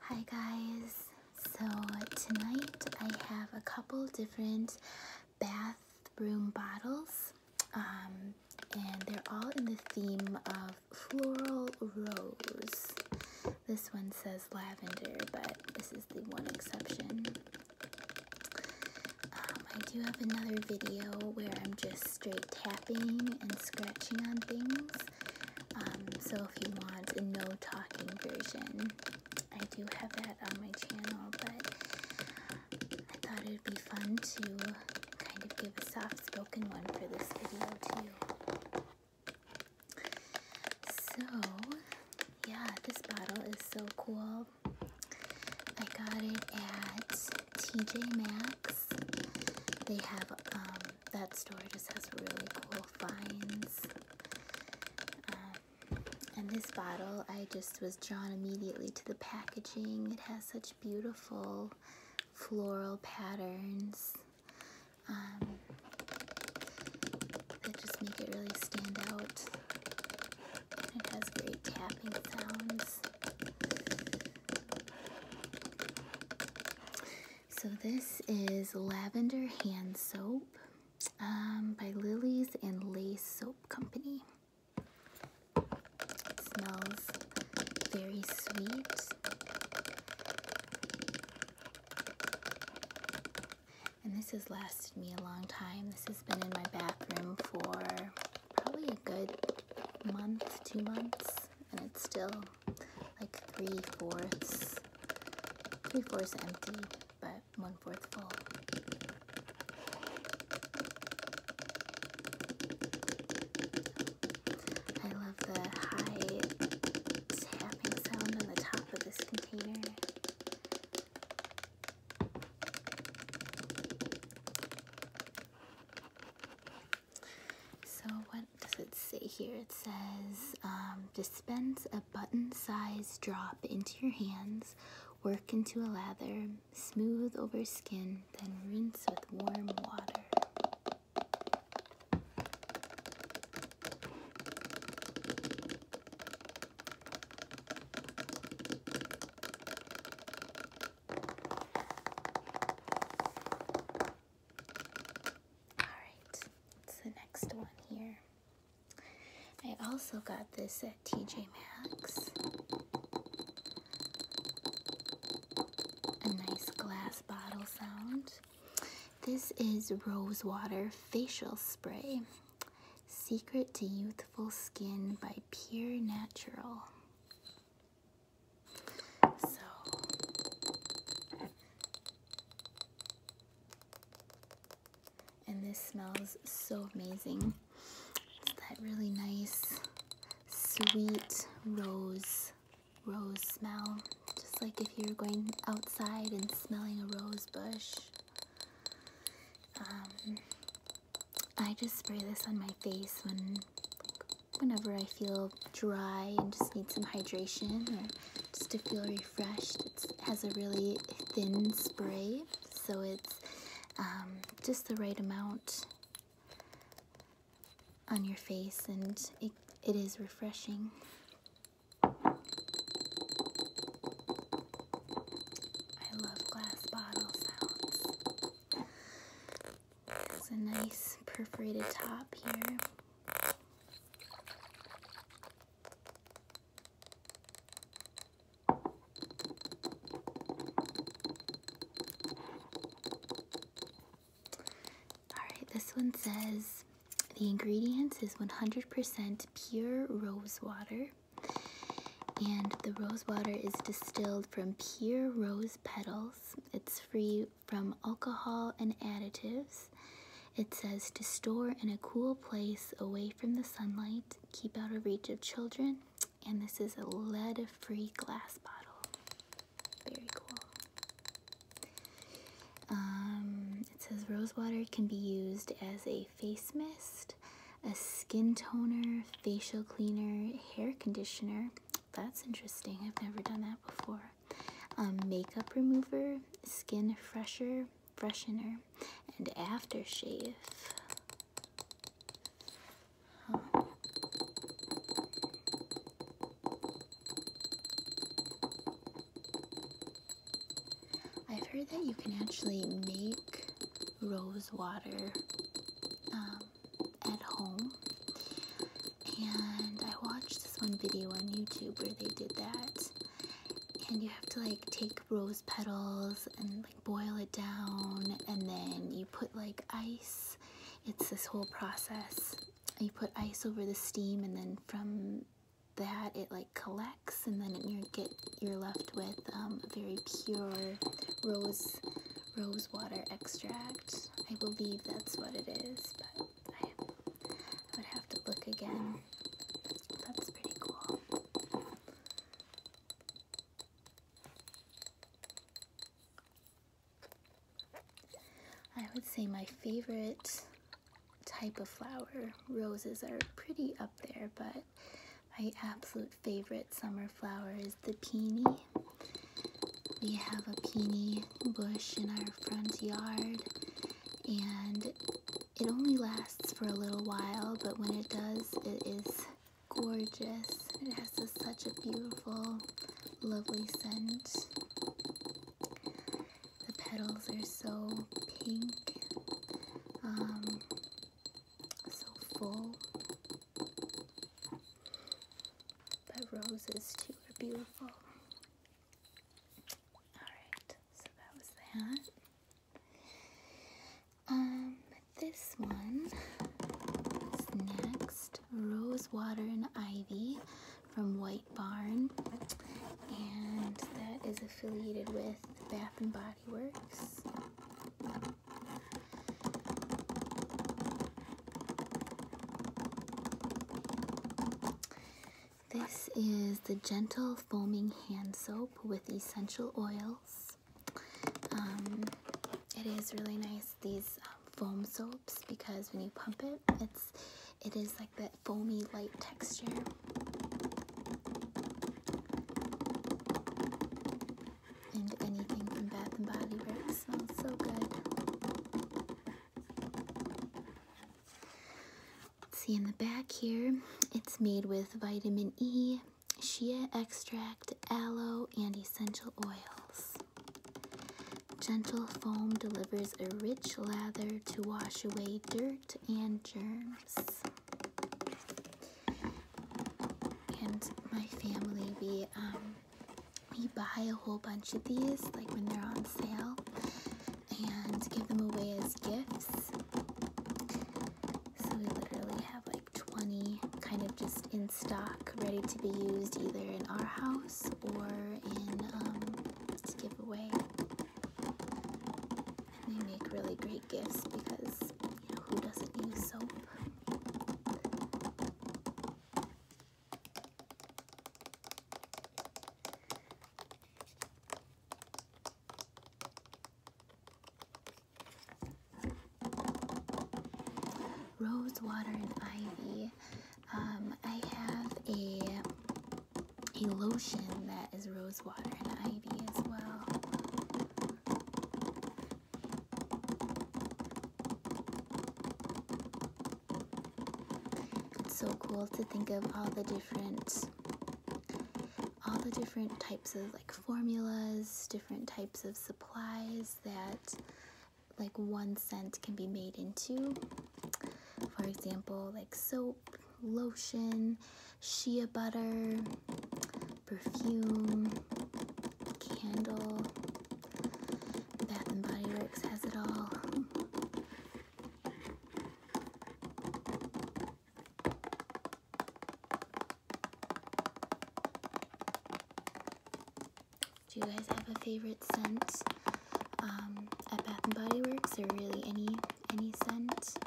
Hi guys, so tonight I have a couple different bathroom bottles um, and they're all in the theme of floral rose. This one says lavender, but this is the one exception. Um, I do have another video where I'm just straight tapping and scratching on things. Um, so if you want a no talking version, I do have that on my channel, but I thought it would be fun to kind of give a soft spoken one for this video too. So, yeah, this bottle is so cool. I got it at TJ Maxx. They have, um, that store just has really cool finds. Uh, and this bottle, I just was drawn immediately to the packaging. It has such beautiful floral patterns um, that just make it really stand out. It has great tapping sounds. So this is Lavender Hand Soap um, by Lilies and Lace Soap Company. It smells very sweet. And this has lasted me a long time. This has been in my bathroom for probably a good month, two months and it's still like three fourths, three fourths empty, but one fourth full. I love the high tapping sound on the top of this container. So what does it say here? It says um, dispense a button size drop into your hands, work into a lather, smooth over skin, then rinse with warm water. Alright, it's the next one here. I also got this at TJ Maxx. A nice glass bottle sound. This is Rosewater Facial Spray. Secret to Youthful Skin by Pure Natural. So and this smells so amazing. It's that really nice sweet rose rose smell. Just like if you're going outside and smelling a rose bush. Um, I just spray this on my face when whenever I feel dry and just need some hydration or just to feel refreshed. it has a really thin spray, so it's um, just the right amount on your face and it, it is refreshing. I love glass bottle sounds. It's a nice perforated top here. Alright, this one says the ingredients is 100% pure rose water. And the rose water is distilled from pure rose petals it's free from alcohol and additives. It says to store in a cool place away from the sunlight, keep out of reach of children, and this is a lead free glass bottle. Very cool. Um, it says rosewater can be used as a face mist, a skin toner, facial cleaner, hair conditioner, that's interesting. I've never done that before. Um, makeup remover, skin fresher, freshener, and aftershave. I've heard that you can actually make rose water um, at home. And I watched this one video on YouTube where they did that. And you have to like take rose petals and like boil it down, and then you put like ice. It's this whole process. You put ice over the steam, and then from that it like collects, and then you get you're left with um, very pure rose rose water extract. I believe that's what it is, but I would have to look again. That's pretty cool. I would say my favorite type of flower, roses are pretty up there, but my absolute favorite summer flower is the peony. We have a peony bush in our front yard, and it only lasts for a little while, but when it does, it is gorgeous. It has such a beautiful, lovely scent. The petals are so pink, um, so full. But roses too are beautiful. Alright, so that was that. Um, this one next Rose Water and Ivy from White Barn. And that is affiliated with Bath and Body Works. This is the Gentle Foaming Hand Soap with essential oils. Um, it is really nice, these um, foam soaps, because when you pump it, it's it is like that foamy light texture and anything from Bath and Body Works smells so good. See in the back here, it's made with vitamin E, shea extract, aloe, and essential oils. Gentle foam delivers a rich lather to wash away dirt and germs. And my family, we um, we buy a whole bunch of these, like when they're on sale, and give them away as gifts. So we literally have like 20 kind of just in stock, ready to be used either in our house or in um, to give away. And they make really great gifts because you know who doesn't use soap? Rose water and ivy. Um, I have a a lotion that is rose water and ivy as well. It's so cool to think of all the different all the different types of like formulas, different types of supplies that like one scent can be made into. For example, like soap, lotion, shea butter, perfume, candle. Bath and Body Works has it all. Do you guys have a favorite scent um, at Bath and Body Works, or really any any scent?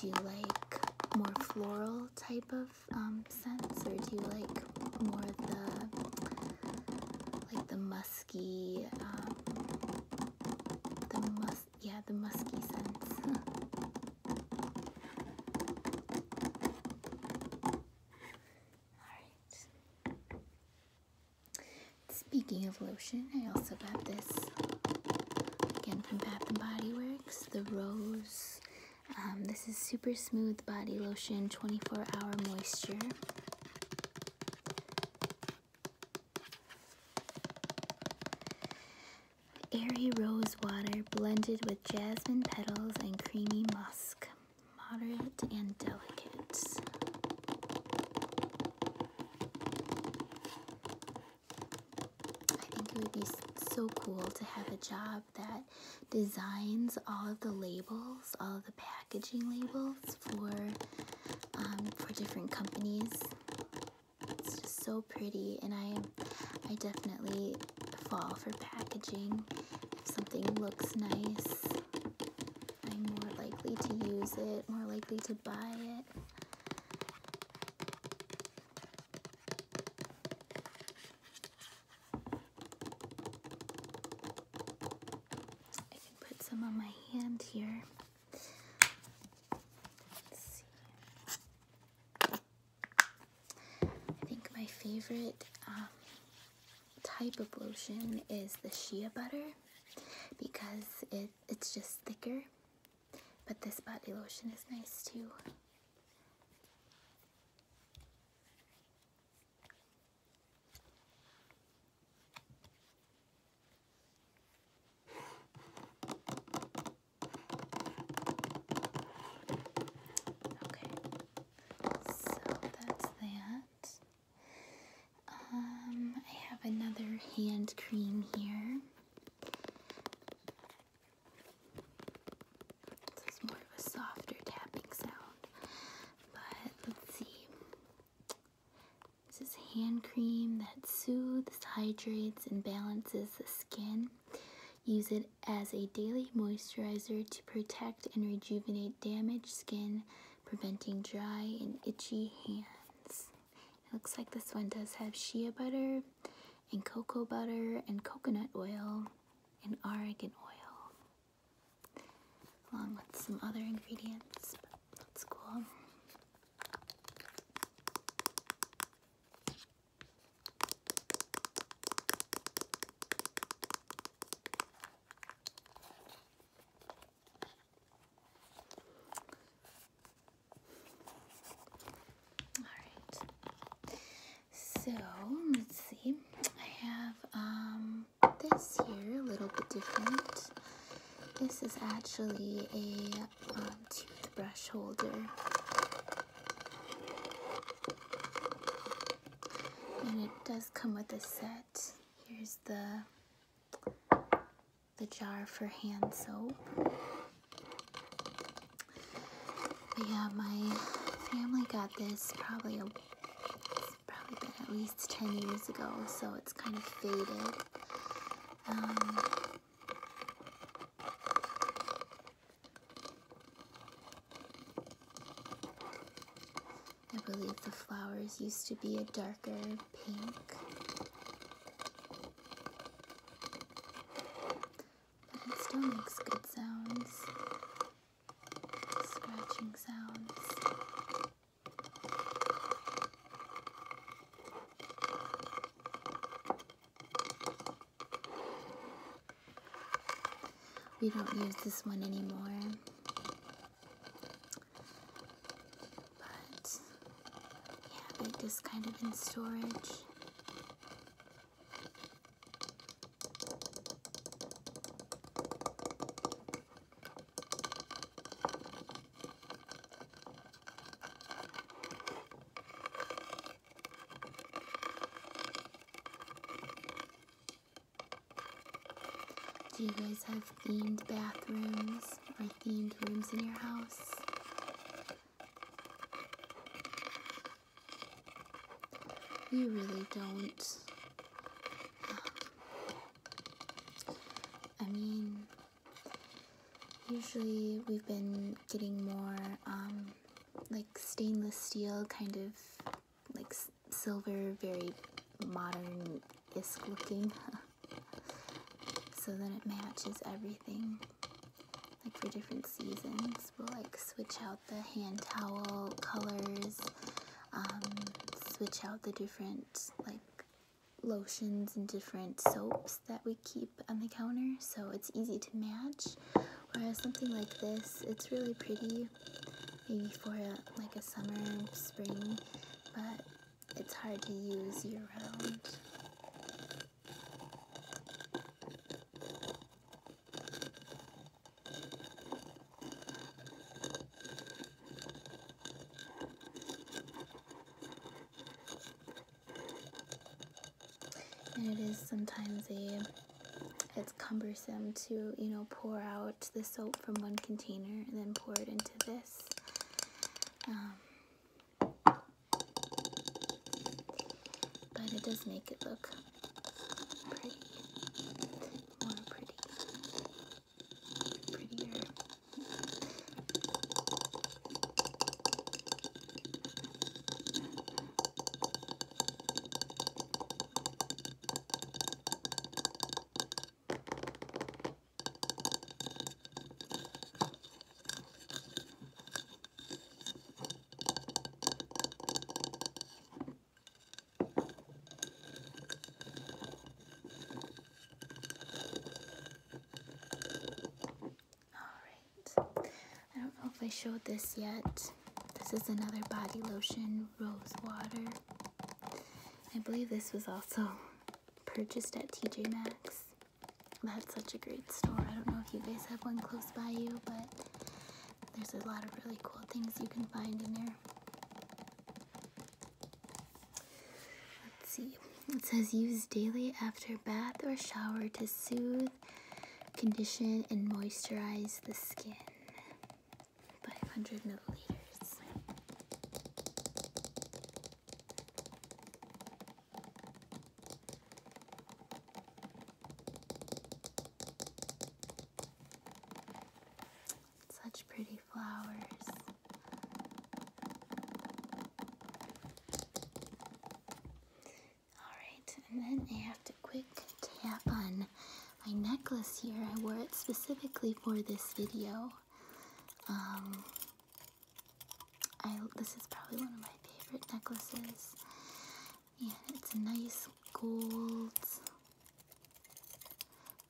Do you like more floral type of um, scents, or do you like more the like the musky, um, the mus yeah the musky scents? All right. Speaking of lotion, I also got this Again, from Bath and Body Works, the Rose. Um, this is super smooth body lotion, 24 hour moisture. Airy rose water blended with jasmine petals and creamy musk, moderate and delicate. I think it would be so cool to have a job that designs all of the labels, all of the packaging labels for um, for different companies. It's just so pretty, and I I definitely fall for packaging. If something looks nice, I'm more likely to use it, more likely to buy it. I can put some on my hand here. I think my favorite um, type of lotion is the shea butter because it, it's just thicker but this body lotion is nice too. Okay, so that's that. Um, I have another hand cream here. This is more of a softer tapping sound. But let's see. This is hand cream that soothes, hydrates, and balances the skin. Use it as a daily moisturizer to protect and rejuvenate damaged skin, preventing dry and itchy hands. It looks like this one does have shea butter and cocoa butter and coconut oil and argan oil, along with some other ingredients. That's cool. Alright. So let's see. I have um, this here a little bit different. This is actually a um, toothbrush holder. And it does come with a set. Here's the the jar for hand soap. But yeah, my family got this probably probably at least 10 years ago, so it's kind of faded. Um, I believe the flowers used to be a darker pink. But it still makes good sounds. Scratching sounds. We don't use this one anymore. But yeah, they're just kind of in storage. Do you guys have themed bathrooms or themed rooms in your house? You really don't. I mean, usually we've been getting more um, like stainless steel kind of like silver, very modern isk looking. so that it matches everything like for different seasons we'll like switch out the hand towel colors um, switch out the different like lotions and different soaps that we keep on the counter so it's easy to match whereas something like this it's really pretty maybe for like a summer spring but it's hard to use year round and it is sometimes a it's cumbersome to, you know, pour out the soap from one container and then pour it into this. Um, but it does make it look pretty, more pretty, prettier. All right. I don't know if I showed this yet. This is another body lotion, rose water. I believe this was also purchased at TJ Maxx. That's such a great store. I don't know if you guys have one close by you, but there's a lot of really cool things you can find in there. Let's see. It says use daily after bath or shower to soothe, condition, and moisturize the skin. 500 milliliters. Such pretty flowers. Alright, and then I have to quick tap on my necklace here. I wore it specifically for this video. Um, I this is probably one of my favorite necklaces. And it's a nice gold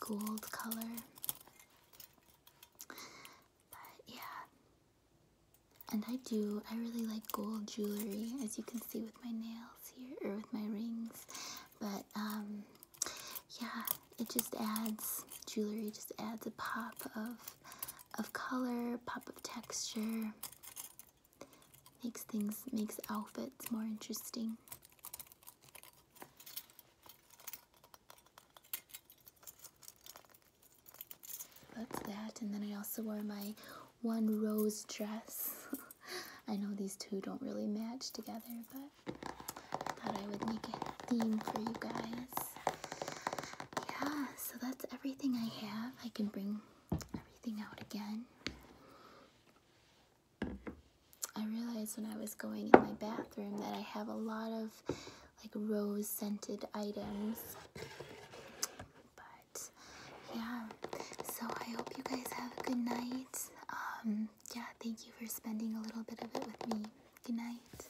gold color. But yeah. And I do, I really like gold jewelry, as you can see with my nails here, or with my rings. But, um, yeah, it just adds, jewelry just adds a pop of of color, pop of texture. Makes things, makes outfits more interesting. that. And then I also wore my one rose dress. I know these two don't really match together, but I thought I would make a theme for you guys. Yeah, so that's everything I have. I can bring everything out again. I realized when I was going in my bathroom that I have a lot of like rose scented items. But yeah, so I hope you guys have a good night. Um, yeah, thank you for spending a little bit of it with me. Good night.